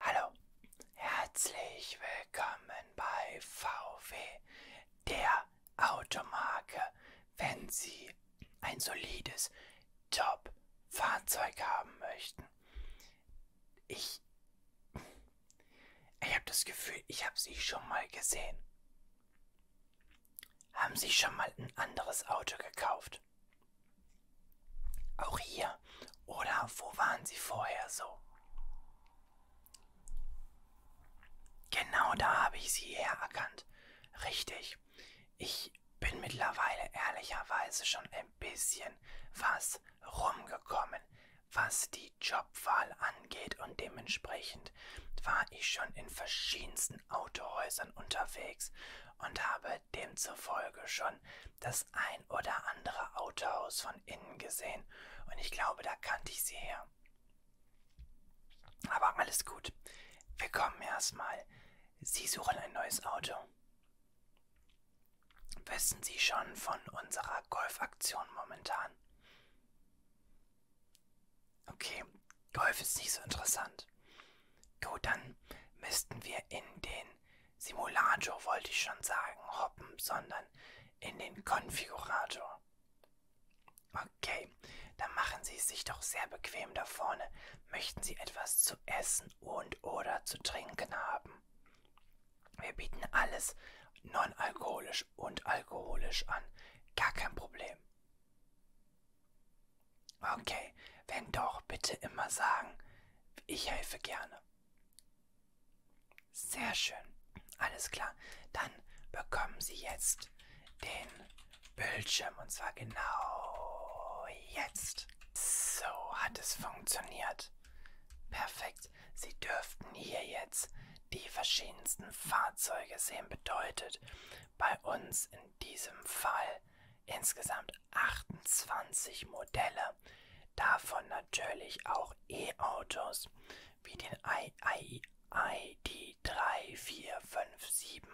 Hallo, herzlich willkommen bei VW, der Automarke. Wenn Sie ein solides Top-Fahrzeug haben möchten, ich, ich habe das Gefühl, ich habe Sie schon mal gesehen. Haben Sie schon mal ein anderes Auto gekauft? Auch hier. Oder wo waren sie vorher so? Genau da habe ich sie hererkannt. Richtig. Ich bin mittlerweile ehrlicherweise schon ein bisschen was rumgekommen, was die Jobwahl angeht und dementsprechend war ich schon in verschiedensten Autohäusern unterwegs und habe demzufolge schon das ein oder andere Autohaus von innen gesehen und ich glaube, da kannte ich sie her. Aber alles gut. Wir kommen erstmal. Sie suchen ein neues Auto. Wissen Sie schon von unserer Golfaktion momentan? Okay, Golf ist nicht so interessant. Gut, dann müssten wir in den Simulator wollte ich schon sagen, hoppen, sondern in den Konfigurator. Okay, dann machen Sie es sich doch sehr bequem da vorne. Möchten Sie etwas zu essen und oder zu trinken haben? Wir bieten alles non-alkoholisch und alkoholisch an. Gar kein Problem. Okay, wenn doch, bitte immer sagen, ich helfe gerne. Sehr schön. Alles klar. Dann bekommen Sie jetzt den Bildschirm und zwar genau jetzt. So hat es funktioniert. Perfekt. Sie dürften hier jetzt die verschiedensten Fahrzeuge sehen. Bedeutet bei uns in diesem Fall insgesamt 28 Modelle. Davon natürlich auch E-Autos wie den ID3, 4, 5, 7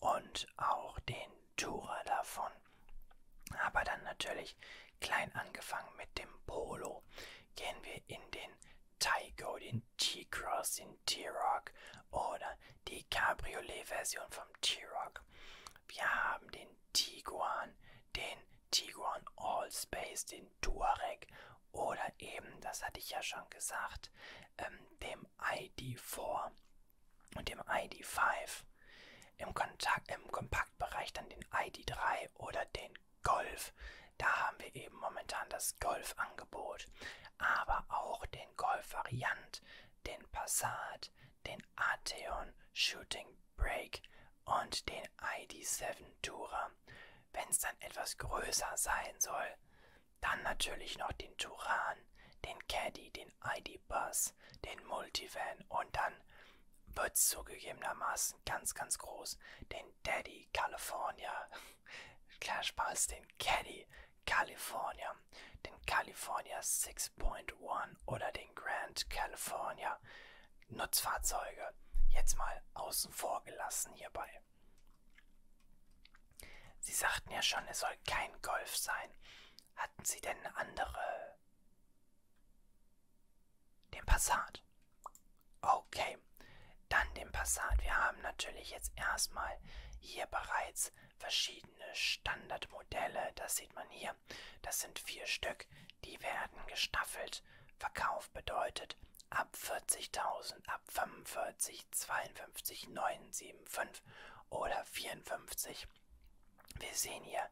und auch den Tourer davon. Aber dann natürlich klein angefangen mit dem Polo. Gehen wir in den Tyco, den T-Cross, den T-Rock oder die Cabriolet-Version vom T-Rock. Wir haben den Tiguan, den Tiguan Allspace, den Touareg oder eben, das hatte ich ja schon gesagt, ähm, dem ID4 und dem ID5. Im, Kontakt, Im Kompaktbereich dann den ID3 oder den Golf. Da haben wir eben momentan das Golf-Angebot, aber auch den Golf-Variant, den Passat, den Atheon Shooting Break und den ID7 Tourer. Wenn es dann etwas größer sein soll, dann natürlich noch den Turan, den Caddy, den ID Bus, den Multivan und dann wird es zugegebenermaßen ganz, ganz groß. Den Daddy California. Klar Spaß, den Caddy California. Den California Six 6.1 oder den Grand California Nutzfahrzeuge jetzt mal außen vor gelassen hierbei. Sie sagten ja schon, es soll kein Golf sein. Hatten Sie denn eine andere? Den Passat. Okay, dann den Passat. Wir haben natürlich jetzt erstmal hier bereits verschiedene Standardmodelle. Das sieht man hier hier. Das sind vier Stück. Die werden gestaffelt. Verkauf bedeutet ab 40.000, ab 45, 52, 9, 7, 5 oder 54. Wir sehen hier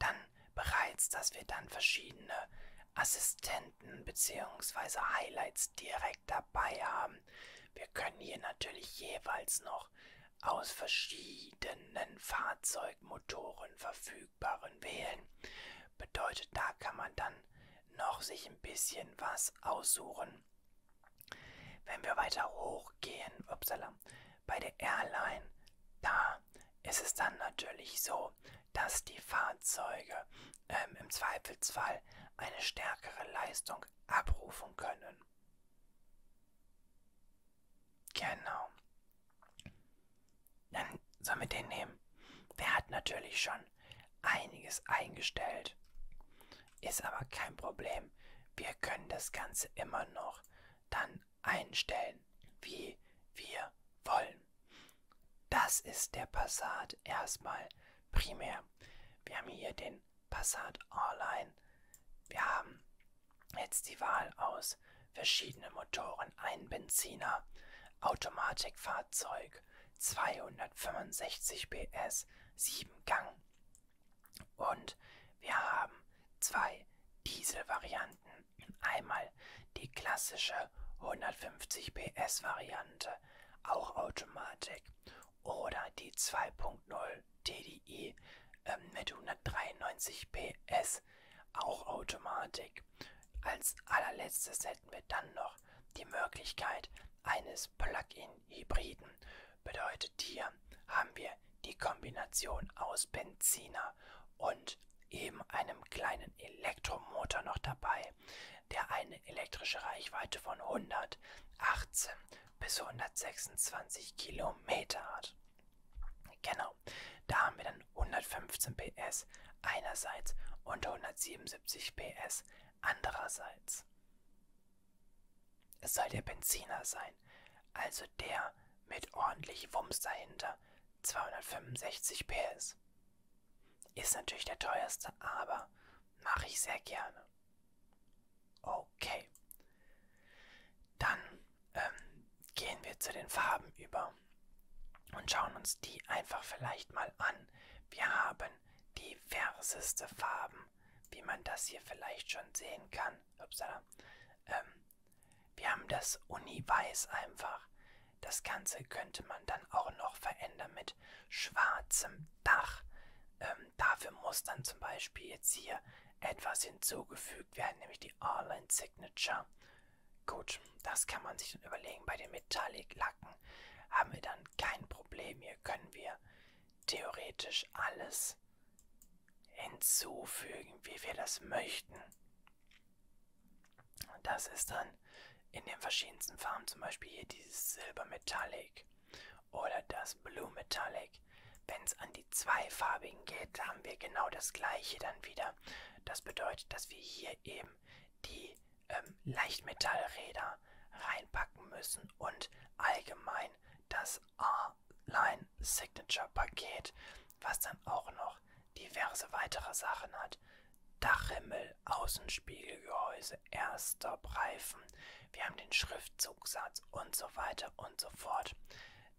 dann bereits, dass wir dann verschiedene Assistenten bzw. Highlights direkt dabei haben. Wir können hier natürlich jeweils noch aus verschiedenen Fahrzeugmotoren verfügen verfügbaren wählen. Bedeutet, da kann man dann noch sich ein bisschen was aussuchen. Wenn wir weiter hochgehen, upsala, bei der Airline, da ist es dann natürlich so, dass die Fahrzeuge ähm, im Zweifelsfall eine stärkere Leistung abrufen können. Genau. Dann sollen wir den nehmen. Der hat natürlich schon einiges eingestellt. Ist aber kein Problem. Wir können das Ganze immer noch dann einstellen, wie wir wollen. Das ist der Passat erstmal primär. Wir haben hier den Passat Online. Wir haben jetzt die Wahl aus verschiedene Motoren, ein Benziner, Automatikfahrzeug, 265 PS, 7 Gang. Und wir haben zwei Dieselvarianten. Einmal die klassische 150 PS Variante, auch Automatik, oder die 2.0 TDI ähm, mit 193 PS 6 auch Automatik. Als allerletztes hätten wir dann noch die Möglichkeit eines Plug-in-Hybriden. Bedeutet hier haben wir die Kombination aus Benziner und eben einem kleinen Elektromotor noch dabei, der eine elektrische Reichweite von 118 bis 126 Kilometer hat. Genau, da haben wir dann 115 PS einerseits und 177 PS andererseits. Es soll der Benziner sein, also der mit ordentlich Wumms dahinter, 265 PS. Ist natürlich der teuerste, aber mache ich sehr gerne. Okay. Dann ähm, gehen wir zu den Farben über und schauen uns die einfach vielleicht mal an. Wir haben diverseste Farben, wie man das hier vielleicht schon sehen kann. Upsala. Ähm, wir haben das Uni-Weiß einfach. Das Ganze könnte man dann auch noch verändern mit schwarzem Dach. Ähm, dafür muss dann zum Beispiel jetzt hier etwas hinzugefügt werden, nämlich die All-In Signature Gut, das kann man sich dann überlegen. Bei den Metallic-Lacken haben wir dann kein Problem. Hier können wir theoretisch alles hinzufügen, wie wir das möchten. Das ist dann in den verschiedensten Farben, zum Beispiel hier dieses Silber Metallic oder das Blue Metallic. Wenn es an die zweifarbigen geht, haben wir genau das gleiche dann wieder. Das bedeutet, dass wir hier eben die ähm, Leichtmetallräder reinpacken müssen und allgemein das A-Line Signature Paket, was dann auch noch diverse weitere Sachen hat. Dachhimmel, Außenspiegelgehäuse, Airstop-Reifen, wir haben den Schriftzugssatz und so weiter und so fort.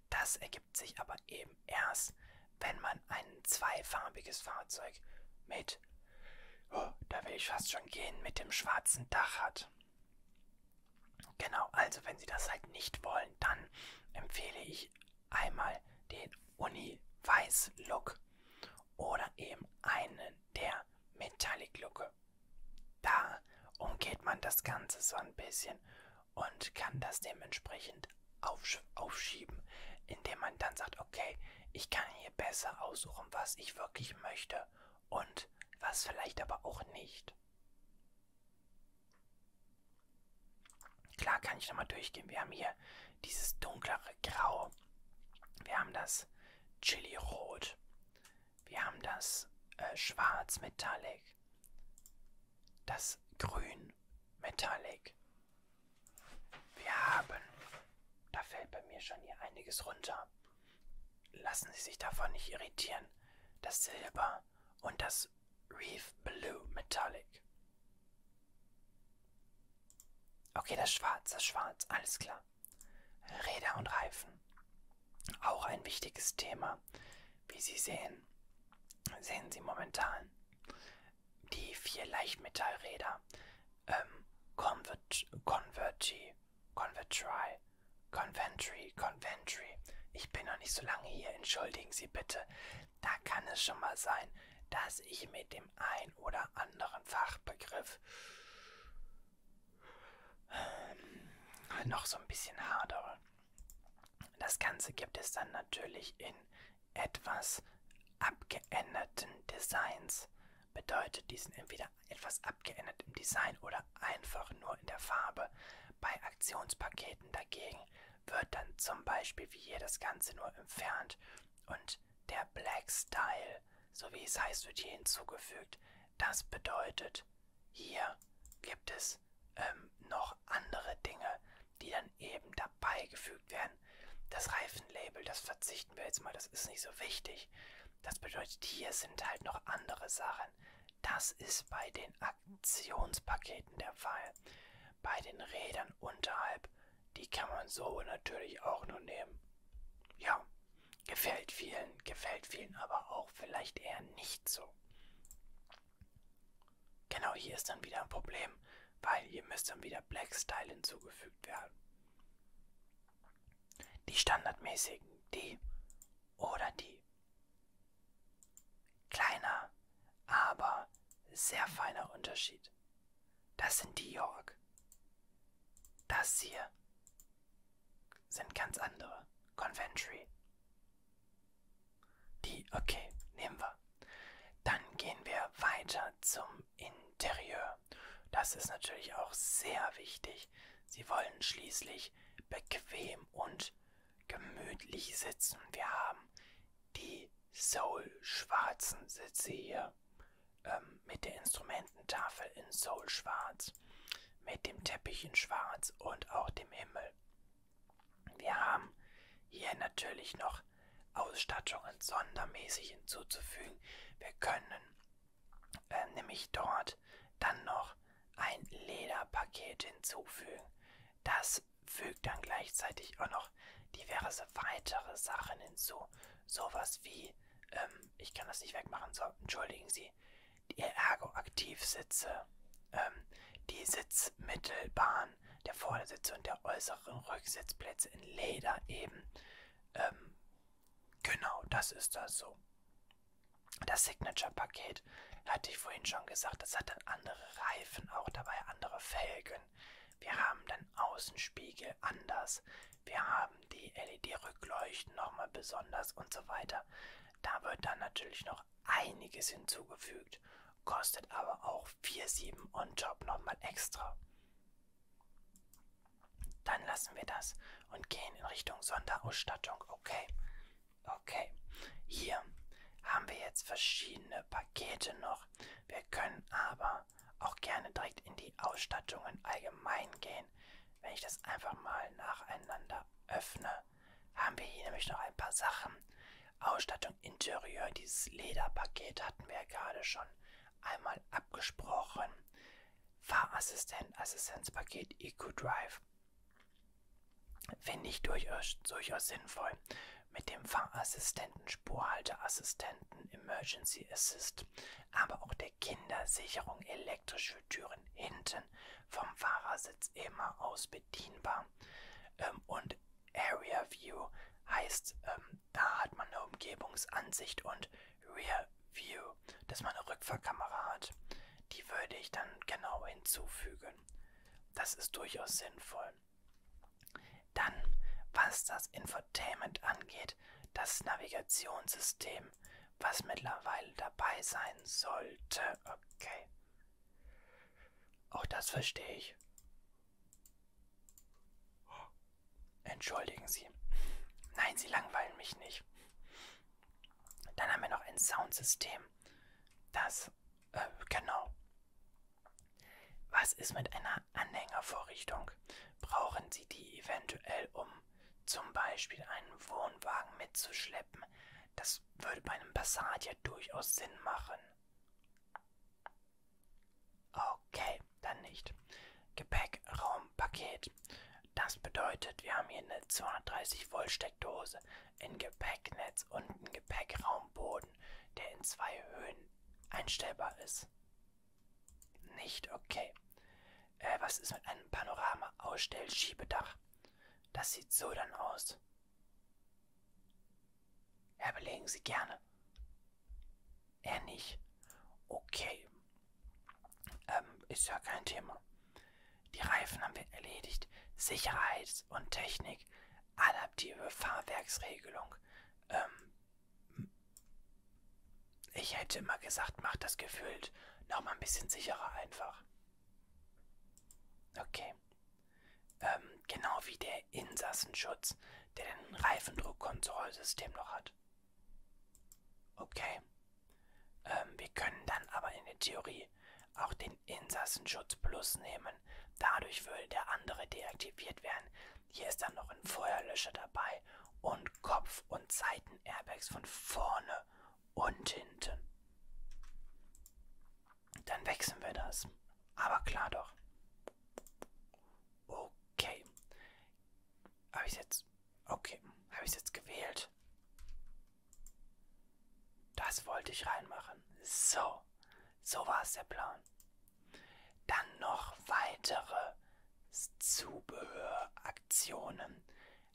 Das ergibt sich aber eben erst, wenn man ein zweifarbiges Fahrzeug mit, oh, da will ich fast schon gehen, mit dem schwarzen Dach hat. Genau, also wenn Sie das halt nicht wollen, dann empfehle ich einmal den Uni-Weiß-Look oder eben einen der Metallic-Looke. Da umgeht man das Ganze so ein bisschen und kann das dementsprechend aufsch aufschieben, indem man dann sagt, okay, ich kann hier besser aussuchen, was ich wirklich möchte und was vielleicht aber auch nicht. Klar kann ich nochmal durchgehen. Wir haben hier dieses dunklere Grau. Wir haben das Chili-Rot. Wir haben das äh, Schwarz-Metallic. Das Grün Metallic. Wir haben. Da fällt bei mir schon hier einiges runter. Lassen Sie sich davon nicht irritieren. Das Silber und das Reef Blue Metallic. Okay, das Schwarz, das Schwarz, alles klar. Räder und Reifen. Auch ein wichtiges Thema. Wie Sie sehen, sehen Sie momentan die vier Leichtmetallräder ähm, Convert, Converti, Convertry, Conventry, Conventry. Ich bin noch nicht so lange hier, entschuldigen Sie bitte. Da kann es schon mal sein, dass ich mit dem ein oder anderen Fachbegriff ähm, noch so ein bisschen hadere. Das Ganze gibt es dann natürlich in etwas abgeänderten Designs bedeutet, die sind entweder etwas abgeändert im Design oder einfach nur in der Farbe. Bei Aktionspaketen dagegen wird dann zum Beispiel wie hier das Ganze nur entfernt und der Black Style, so wie es heißt, wird hier hinzugefügt. Das bedeutet, hier gibt es ähm, noch andere Dinge, die dann eben dabei gefügt werden. Das Reifenlabel, das verzichten wir jetzt mal, das ist nicht so wichtig. Das bedeutet, hier sind halt noch andere Sachen. Das ist bei den Aktionspaketen der Fall. Bei den Rädern unterhalb, die kann man so natürlich auch nur nehmen. Ja, gefällt vielen, gefällt vielen aber auch vielleicht eher nicht so. Genau hier ist dann wieder ein Problem, weil hier müsste dann wieder Black Style hinzugefügt werden. Die standardmäßigen, die oder die. Kleiner, aber sehr feiner Unterschied. Das sind die York. Das hier sind ganz andere. Conventry. Die, okay, nehmen wir. Dann gehen wir weiter zum Interieur. Das ist natürlich auch sehr wichtig. Sie wollen schließlich bequem und gemütlich sitzen. Wir haben die Soul-schwarzen Sitze hier ähm, mit der Instrumententafel in Soul-schwarz, mit dem Teppich in schwarz und auch dem Himmel. Wir haben hier natürlich noch Ausstattungen sondermäßig hinzuzufügen. Wir können äh, nämlich dort dann noch ein Lederpaket hinzufügen. Das fügt dann gleichzeitig auch noch diverse weitere Sachen hinzu. Sowas wie, ähm, ich kann das nicht wegmachen, so, entschuldigen Sie, die Ergo-Aktivsitze, ähm, die Sitzmittelbahn, der Vordersitze und der äußeren Rücksitzplätze in Leder eben. Ähm, genau, das ist das so. Das Signature-Paket hatte ich vorhin schon gesagt, das hat dann andere Reifen, auch dabei andere Felgen. Wir haben dann Außenspiegel anders. Wir haben die LED-Rückleuchten nochmal besonders und so weiter. Da wird dann natürlich noch einiges hinzugefügt kostet aber auch 4,7 on top nochmal extra. Dann lassen wir das und gehen in Richtung Sonderausstattung. Okay, okay. Hier haben wir jetzt verschiedene Pakete noch. Wir können aber auch gerne direkt in die Ausstattungen allgemein gehen. Wenn ich das einfach mal nacheinander öffne, haben wir hier nämlich noch ein paar Sachen. Ausstattung Interieur, dieses Lederpaket hatten wir ja gerade schon einmal abgesprochen. Fahrassistent, Assistenzpaket, EcoDrive. Finde ich durchaus, durchaus sinnvoll. Mit dem Fahrassistenten, Spurhalteassistenten, Emergency Assist, aber auch der Kindersicherung, elektrische Türen hinten vom Fahrersitz immer aus bedienbar ähm, und und Area View heißt, ähm, da hat man eine Umgebungsansicht und Rear View, dass man eine Rückfahrkamera hat. Die würde ich dann genau hinzufügen. Das ist durchaus sinnvoll. Dann, was das Infotainment angeht, das Navigationssystem, was mittlerweile dabei sein sollte. Okay. Auch das verstehe ich. Entschuldigen Sie. Nein, Sie langweilen mich nicht. Dann haben wir noch ein Soundsystem. Das, äh, genau. Was ist mit einer Anhängervorrichtung? Brauchen Sie die eventuell, um zum Beispiel einen Wohnwagen mitzuschleppen? Das würde bei einem Passat ja durchaus Sinn machen. Okay, dann nicht. Gepäckraumpaket. Das bedeutet, wir haben hier eine 230 Volt Steckdose, ein Gepäcknetz und einen Gepäckraumboden, der in zwei Höhen einstellbar ist. Nicht okay. Äh, was ist mit einem Panorama-Ausstellschiebedach? Das sieht so dann aus. Ja, belegen Sie gerne. Er nicht. Okay. Ähm, ist ja kein Thema. Die Reifen haben wir erledigt. Sicherheits- und Technik. Adaptive Fahrwerksregelung. Ähm, ich hätte immer gesagt, macht das gefühlt nochmal ein bisschen sicherer einfach. Okay. Ähm, genau wie der Insassenschutz, der den Reifendruckkontrollsystem noch hat. Okay. Ähm, wir können dann aber in der Theorie auch den Insassenschutz Plus nehmen. Dadurch würde der andere deaktiviert werden. Hier ist dann noch ein Feuerlöscher dabei und Kopf- und Seiten-Airbags von vorne und hinten. Dann wechseln wir das. Aber klar doch. Okay. Habe ich jetzt. Okay. Habe ich jetzt gewählt? Das wollte ich reinmachen. So. So war es der Plan. Dann noch weitere Zubehöraktionen.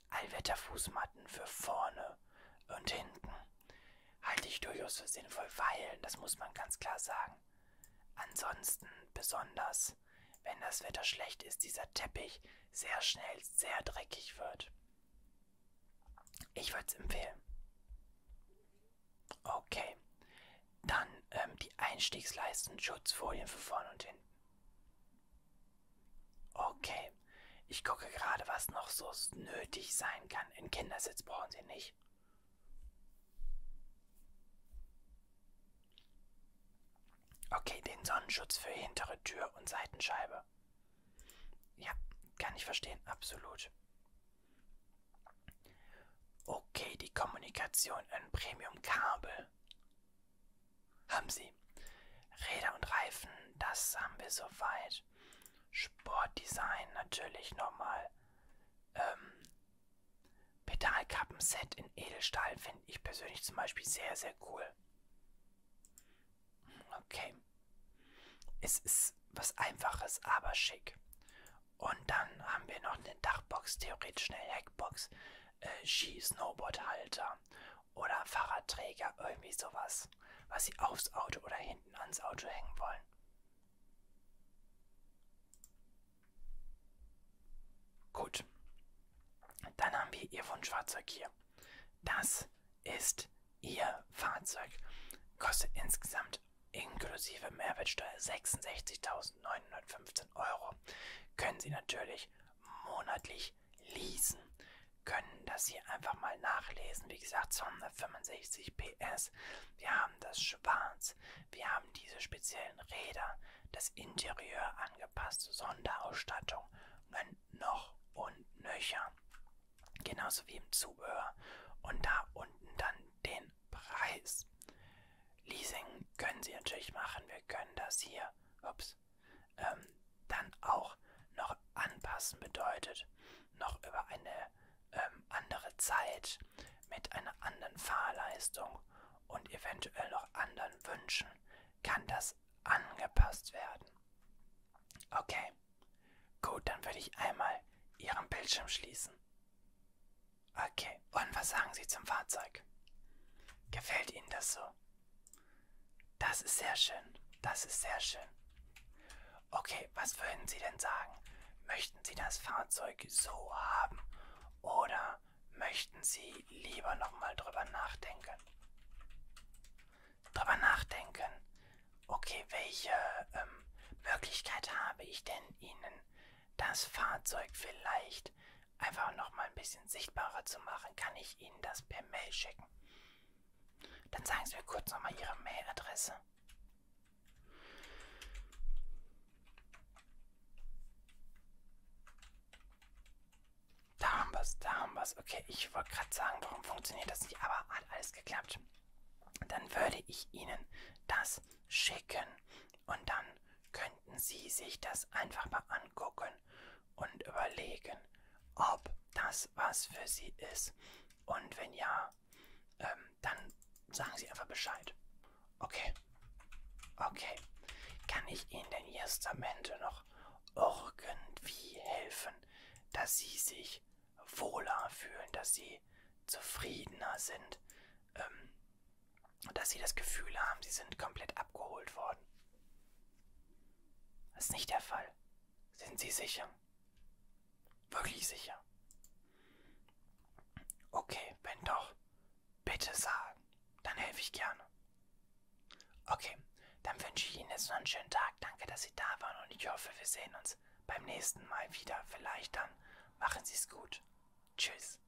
Allwetterfußmatten für vorne und hinten. Halte ich durchaus für sinnvoll, weil, das muss man ganz klar sagen, Ansonsten besonders, wenn das Wetter schlecht ist, dieser Teppich sehr schnell sehr dreckig wird. Ich würde es empfehlen. Okay, dann ähm, die Einstiegsleisten Schutzfolien für vorne und hinten. Okay, ich gucke gerade, was noch so nötig sein kann. Einen Kindersitz brauchen Sie nicht. Okay, den Sonnenschutz für hintere Tür und Seitenscheibe. Ja, kann ich verstehen, absolut. Okay, die Kommunikation in Premium-Kabel. Haben Sie. Räder und Reifen, das haben wir soweit. Sportdesign natürlich nochmal. Ähm, Pedalkappenset in Edelstahl finde ich persönlich zum Beispiel sehr, sehr cool. Okay. Es ist was Einfaches, aber schick. Und dann haben wir noch eine Dachbox, theoretisch eine Heckbox, äh, Ski-Snowboardhalter oder Fahrradträger, irgendwie sowas, was sie aufs Auto oder hinten ans Auto hängen wollen. Gut. Dann haben wir Ihr Wunschfahrzeug hier. Das ist Ihr Fahrzeug. Kostet insgesamt inklusive Mehrwertsteuer 66.915 Euro. Können Sie natürlich monatlich leasen. Können das hier einfach mal nachlesen. Wie gesagt, 265 PS. Wir haben das schwarz. Wir haben diese speziellen Räder, das Interieur angepasste Sonderausstattung und ein noch und nöcher. Genauso wie im Zubehör. Und da unten dann den Preis. Leasing können Sie natürlich machen. Wir können das hier ups, ähm, dann auch noch anpassen bedeutet, noch über eine ähm, andere Zeit mit einer anderen Fahrleistung und eventuell noch anderen Wünschen kann das angepasst werden. Okay, gut, dann würde ich einmal Ihren Bildschirm schließen. Okay, und was sagen Sie zum Fahrzeug? Gefällt Ihnen das so? Das ist sehr schön, das ist sehr schön. Okay, was würden Sie denn sagen? Möchten Möchten Sie das Fahrzeug so haben oder möchten Sie lieber nochmal drüber nachdenken? Drüber nachdenken. Okay, welche ähm, Möglichkeit habe ich denn, Ihnen das Fahrzeug vielleicht einfach nochmal ein bisschen sichtbarer zu machen? Kann ich Ihnen das per Mail schicken? Dann sagen Sie mir kurz nochmal Ihre Mailadresse. Da haben wir es, da haben wir es. Okay, ich wollte gerade sagen, warum funktioniert das nicht, aber hat alles geklappt. Dann würde ich Ihnen das schicken und dann könnten Sie sich das einfach mal angucken und überlegen, ob das was für Sie ist. Und wenn ja, ähm, dann sagen Sie einfach Bescheid. Okay. Okay. Kann ich Ihnen denn jetzt am Ende noch irgendwie helfen, dass Sie sich wohler fühlen, dass Sie zufriedener sind, ähm, dass Sie das Gefühl haben, Sie sind komplett abgeholt worden? Das ist nicht der Fall. Sind Sie sicher? Wirklich sicher? Okay, wenn doch, bitte sagen. Dann helfe ich gerne. Okay, dann wünsche ich Ihnen jetzt noch einen schönen Tag. Danke, dass Sie da waren und ich hoffe, wir sehen uns beim nächsten Mal wieder. Vielleicht dann. Machen Sie es gut. Tschüss.